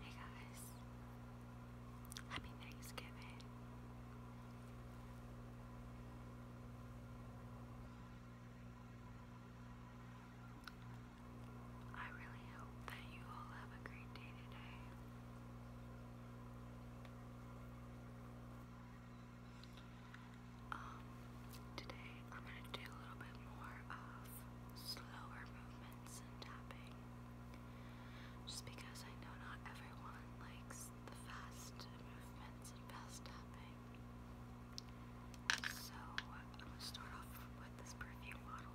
Hey guys, happy Thanksgiving. I really hope that you all have a great day today. Um, today I'm going to do a little bit more of slower movements and tapping. Just because I know not everyone likes the fast movements and fast tapping. So I'm going to start off with this perfume bottle.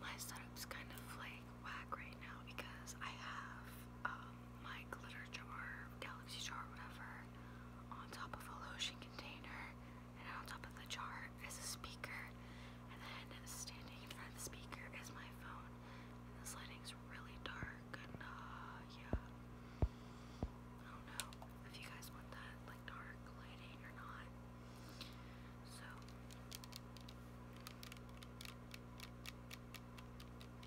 My setup's kind of like whack right now because I have um, my glitter jar, galaxy jar, whatever, on top of a lotion container, and on top of the jar is a speaker, and then standing in front of the speaker is my phone. And this lighting's really dark, and uh, yeah, I don't know if you guys want that like dark lighting or not. So.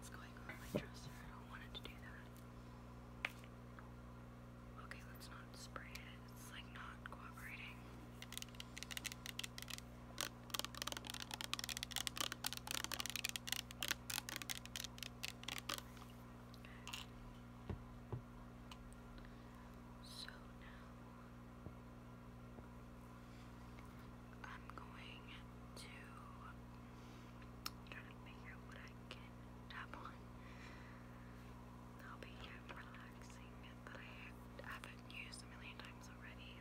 It's going on my dresser. I don't want it to do that. Okay, let's not spray it. It's like not cooperating. So now I'm going to try to figure out what I can tap on. That'll be relaxing that I haven't used a million times already.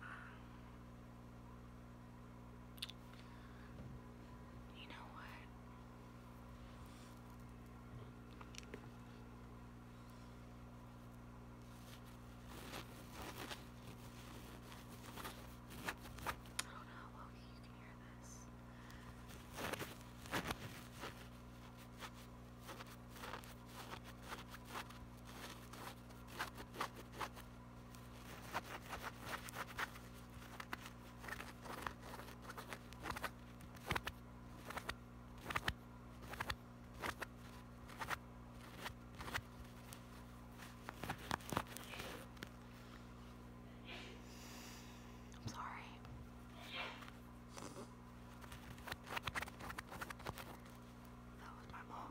Um, you know what? I don't know how okay, you can hear this. I I'm sorry. That was my mom.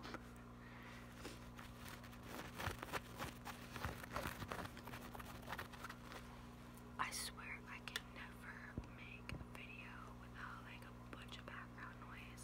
I swear I can never make a video without like a bunch of background noise.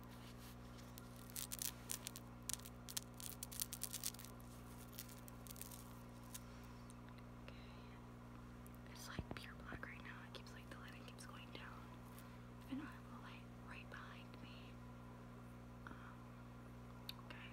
It's like pure black right now. It keeps like the lighting keeps going down. And I have a light right behind me. Um, okay.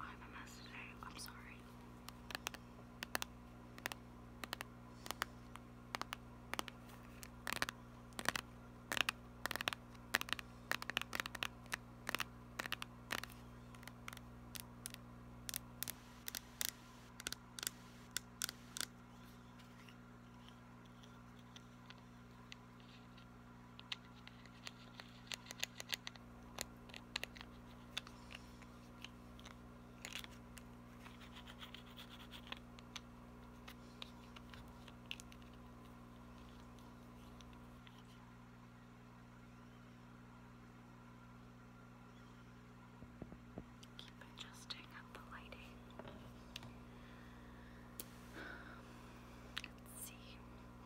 I'm a mess today. I'm sorry. Keep adjusting the lighting. Let's see.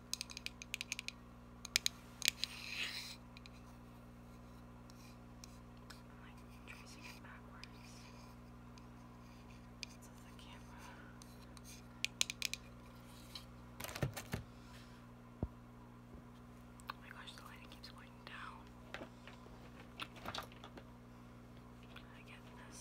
I'm like tracing it backwards. So the camera. Oh my gosh, the lighting keeps going down. I get this.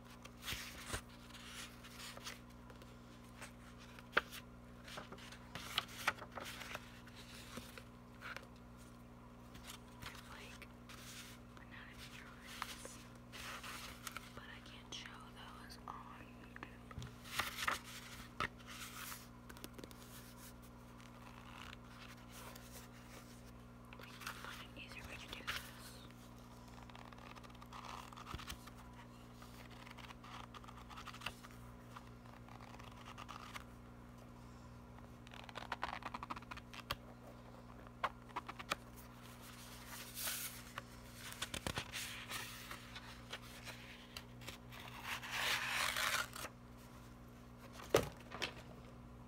like banana drawings, but I can't show those on YouTube we can find an easier way to do this. Okay,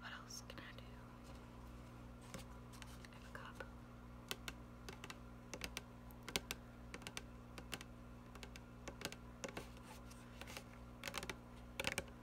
What else can I do? I have a cup. I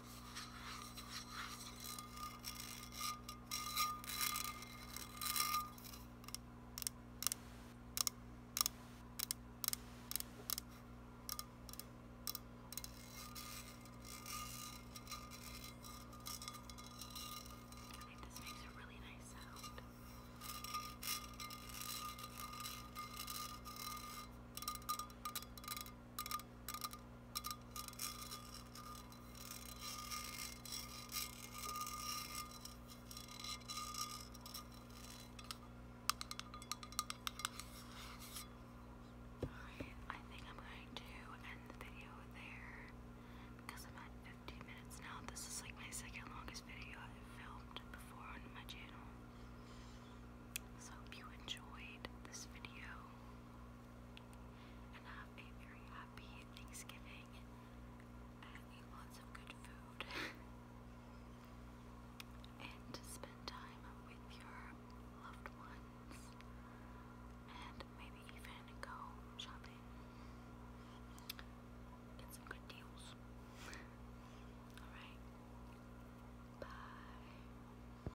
I think this makes a really nice sound. I I think I'm going to end the video there because I'm at 15 minutes now. This is like my second longest video I've filmed before on my channel. So, hope you enjoyed this video and have a very happy Thanksgiving and eat lots of good food and to spend time with your loved ones and maybe even go shopping. Get some good deals. Alright. Bye.